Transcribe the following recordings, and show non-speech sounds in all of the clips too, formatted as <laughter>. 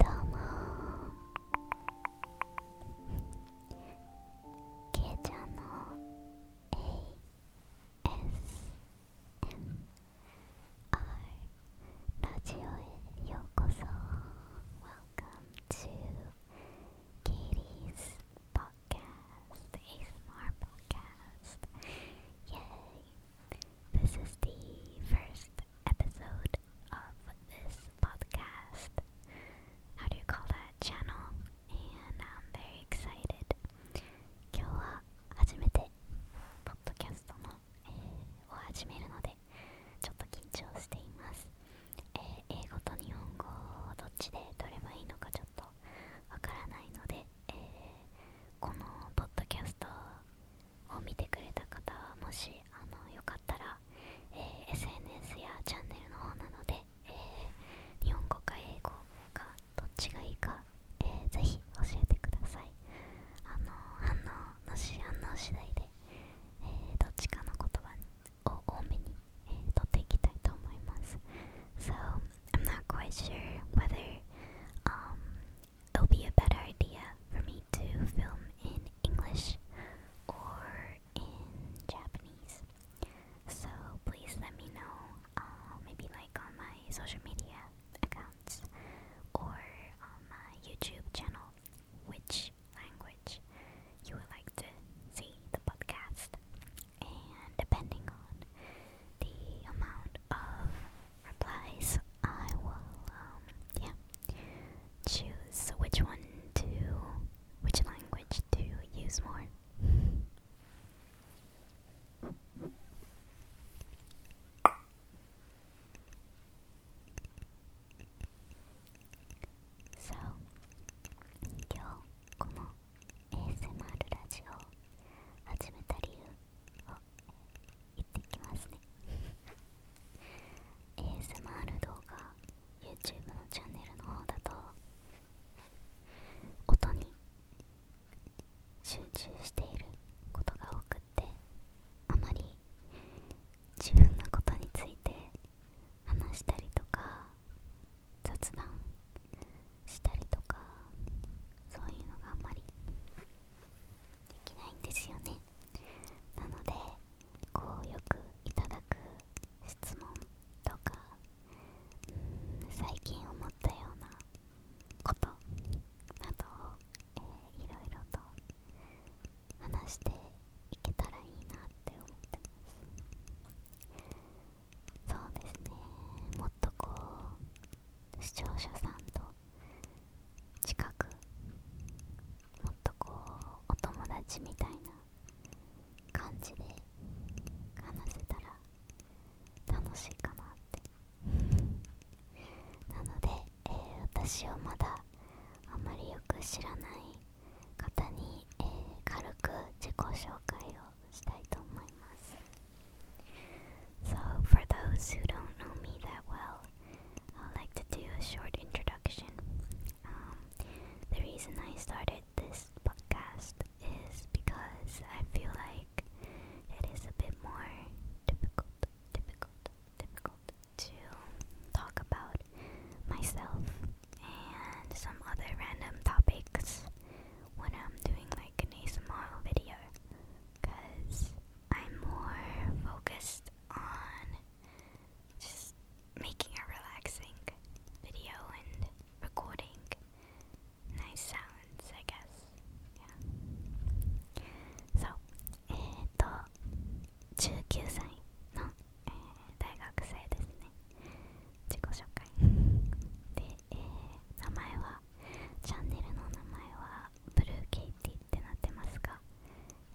どうもけいちゃんの ASMR ラジオへようこそ Welcome to Katie's podcast ASMR podcast Yay This is the first episode of this podcast. How do you call that channel? And I'm very excited. 今日は初めてポッドキャストの、を始めるのでちょっと緊張しています、英語と日本語どっちで取ればいいのかちょっとわからないので、えこのポッドキャストを見てくれた方はもしあのよかったら、えー、SNS やチャンネルの方なので、えー、日本語か英語かどっちがいいか、えー、ぜひ教えてくださいあの反応のし反応次第で、えー、どっちかの言葉を多めに、えー、っていきたいと思います So I'm n o quite sure whether um, it'll be a better idea for me to film in English or in Japanese. So please let me know, uh, maybe like on my social media accounts or on my YouTube channel, which language you would like to see the podcast. And depending on the amount of replies, I will, um, yeah, choose which one to, which language to use more. So, 今日この ASMR ラジオを始めた理由を、えー、言ってきますね ASMR 動画 YouTube のチャンネルの方だと音に集中していることが多くってあまり自分のことについて話したりとか雑談したりとかそういうのがあんまりできないんですよねなのでこうよくいただく質問とか最近思ったようなことなどえー、いろいろと話していけたらいいなって思ってますそうですねもっとこう視聴者さんと近くもっとこうお友達みたいな感じで話せたら楽しいかなって <laughs> なので、えー、私をまだあまりよく知らない方に、えー、軽く自己紹介をしたいと思います So, for those who don't know me that well, I'd like to do a short introduction. Um, the reason I started this podcast is because I feel like it is a bit more difficult, difficult, difficult to talk about myself and some other random topics when I'm doing like an ASMR video because I'm more focused on just making a relaxing video and recording nice sounds, I guess. Yeah. So, <laughs> チャンネルの名前はブルーケイティってなってますが、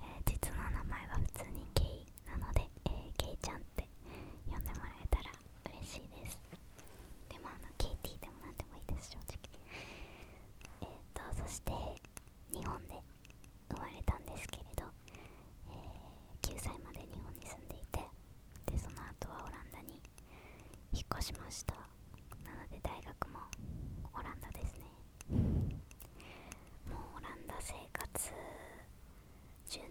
え実の名前は普通にケイなので、えー、ケイちゃんって呼んでもらえたら嬉しいですでもあのケイティでもなんでもいいです正直えっ、とそして日本で生まれたんですけれど、え9歳まで日本に住んでいてでその後はオランダに引っ越しましたなので大学もオランダですねもうオランダ生活10年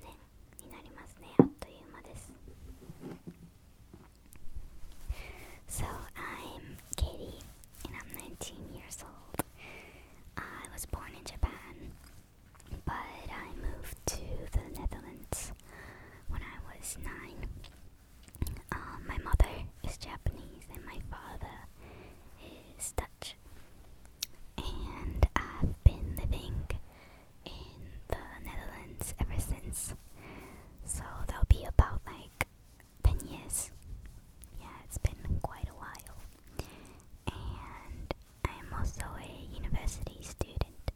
になりますねあっという間です So I'm Katie and I'm 19 years old I was born in Japan but I moved to the Netherlands when I was nine。Um, my mother is Japanese and my father is Dutch. And I've been living in the Netherlands ever since. So that'll be about like 10 years. Yeah, it's been quite a while. And I'm also a university student.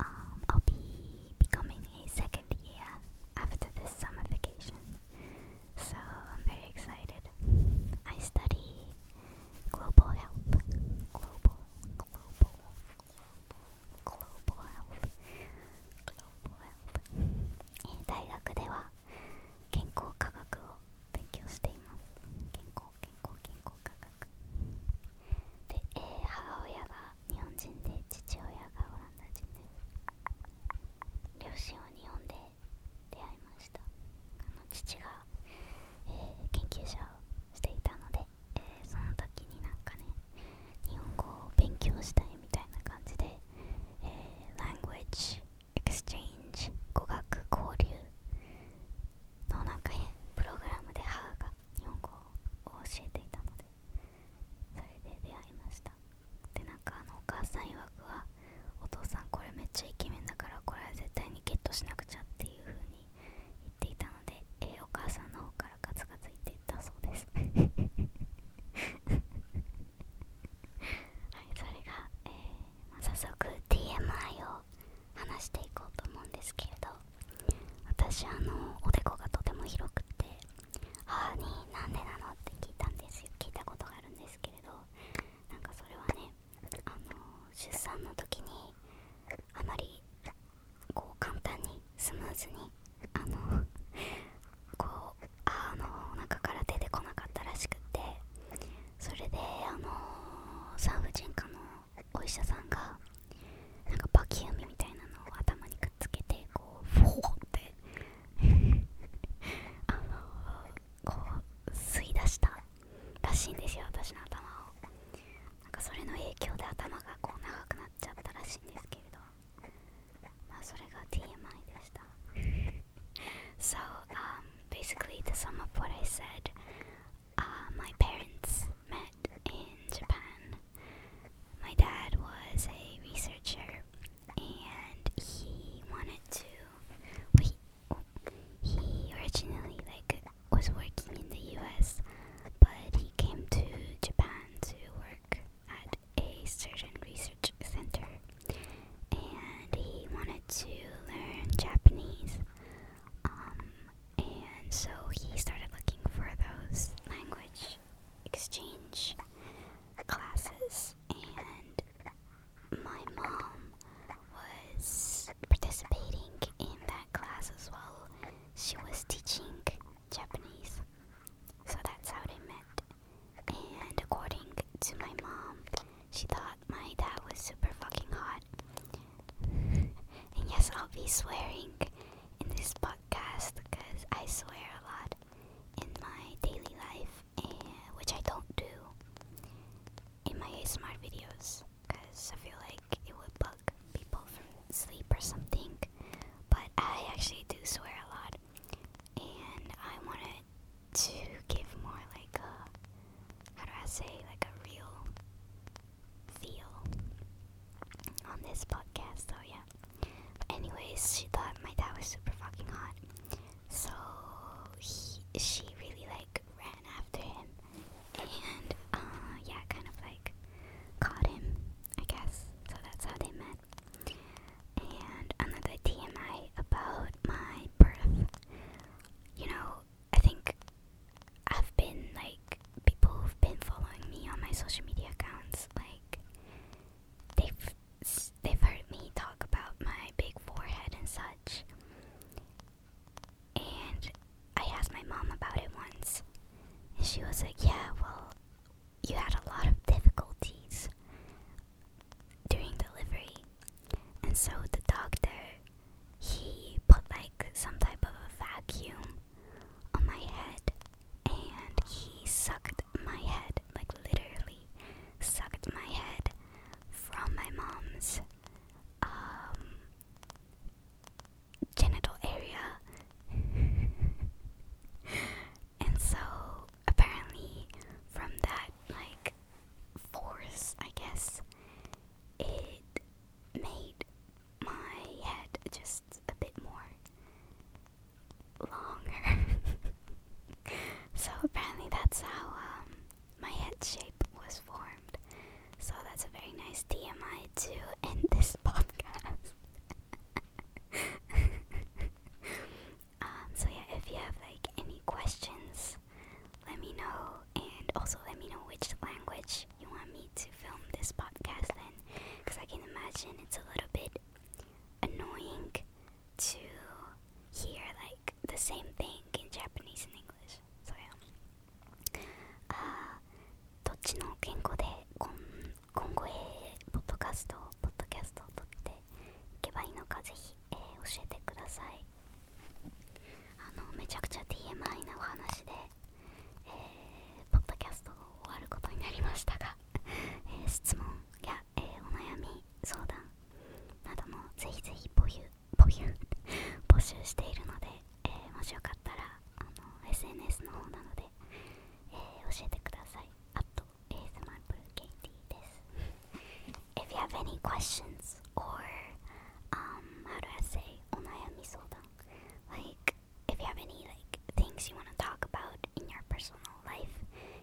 Um, I'll be becoming a second year after this summer vacation, so I'm very excited. I study global health, global, global, global, global health, global health. えー、大学では健康科学を勉強しています。健康、健康、健康科学。で、えー、母親が日本人で父親がオランダ人で両親は日本で出会いましたあの父が、えー、研究者をしていたので、えー、その時になんかね日本語を勉強したいみたいな感じで、えー、Language Exchange 語学交流のなんか、ね、プログラムで母が日本語を教えていたのそれで出会いましたでなんかあのお母さん曰くはお父さんこれめっちゃイケメンだからこれは絶対にゲットしなくちゃっていう風に言っていたので、えー、お母さんの方からガツガツ言っていったそうです <laughs> はいそれが、えま早速 d m i を話していこうと思うんですけれど私あのおでこがとても広くって母に「なんでなの?」って聞いたんですよ聞いたことがあるんですけれどなんかそれはねあの出産の時にあまりこう簡単にスムーズにあのこう母のお腹から出てこなかったらしくてそれであの産婦人科のお医者さんがなんかバキュームみたいなのを頭にくっつけてこうフォーって <laughs> あのこう吸い出したらしいんですよ私の頭をなんかそれの影響で頭がこう長くなっちゃったらしいんですけれどまあそれが TMI でしたそう、<laughs> um basically the sum of what I said Uh, my parents met in Japan. My dad was a researcher and he wanted to. Wait, oh, he originally like was working in the US, but he came to Japan to work at a certain research center and he wanted to learn Japanese. Um, and so he started looking for those language exchange classes, and my mom was participating in that class as well. She was teaching Japanese, so that's how they met. And according to my mom, she thought my dad was super fucking hot and yes, I'll be swearing in this podcast because I swear a lot in my daily life, and, eh, which I don't do in my smart videos because I feel like it would bug people from sleep or something. But I actually do swear a lot, and I wanted to give more like a how do I say like a real feel on this podcast, so yeah. anyways, she thought my dad was super fucking hot. So he, she really like ran after him and uh, yeah, kind of like caught him, I guess. So that's how they met. And another TMI about my birth. You know, I think I've been like people who've been following me on my social media accounts like they've they've heard me talk about my big forehead and such. And I asked my mom about it once. And she was like, "Yeah, well, you had a lot of difficulties during delivery." And so the doctor he put like some type of a vacuum on my head and he sucked my head, like literally sucked my head from my mom's um, genital area. <laughs> and so apparently from that like force, I guess, it made my head just a bit more longer. <laughs> so apparently that's how um, my head shape was formed. So that's a very nice DMI to end this <laughs> podcast. <laughs> um, so yeah, if you have like any questions let me know, and also let me know which language you want me to film this podcast in, because I can imagine it's a little bit annoying to hear like the same thing in Japanese and English. So yeah. Uh, どっちの言語で今今後へポッドキャストポッドキャストを撮っていけばいいのかぜひ、えー、教えてください。あのめちゃくちゃ d m i のお話で、えー、ポッドキャストを終わることになりましたが <laughs> えー、質問や、えお悩み相談などもぜひぜひぽゆぽゆ募集しているので、えもしよかったらあの SNS の方なので、えー、教えてください。あと ASMR ブルケイティです。If you have any q u e or um, how do I say onayami sodan. Like if you have any like things you want to talk about in your personal life,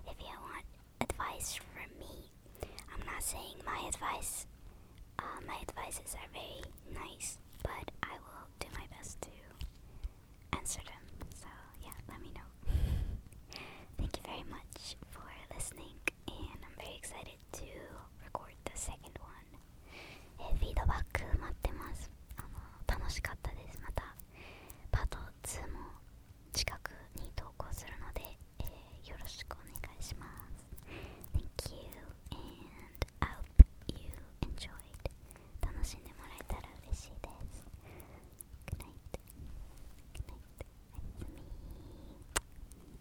if you want advice from me, I'm not saying my advice uh, my advices are very nice, but I will do my best to answer them. So yeah, let me know. <laughs> Thank you very much for listening and I'm very excited to record the second one えフィードバック待ってますあの楽しかったですまたパート2も近くに投稿するので、えー、よろしくお願いします Thank you and hope you enjoyed 楽しんでもらえたら嬉しいです Good night Good night l e おやすみ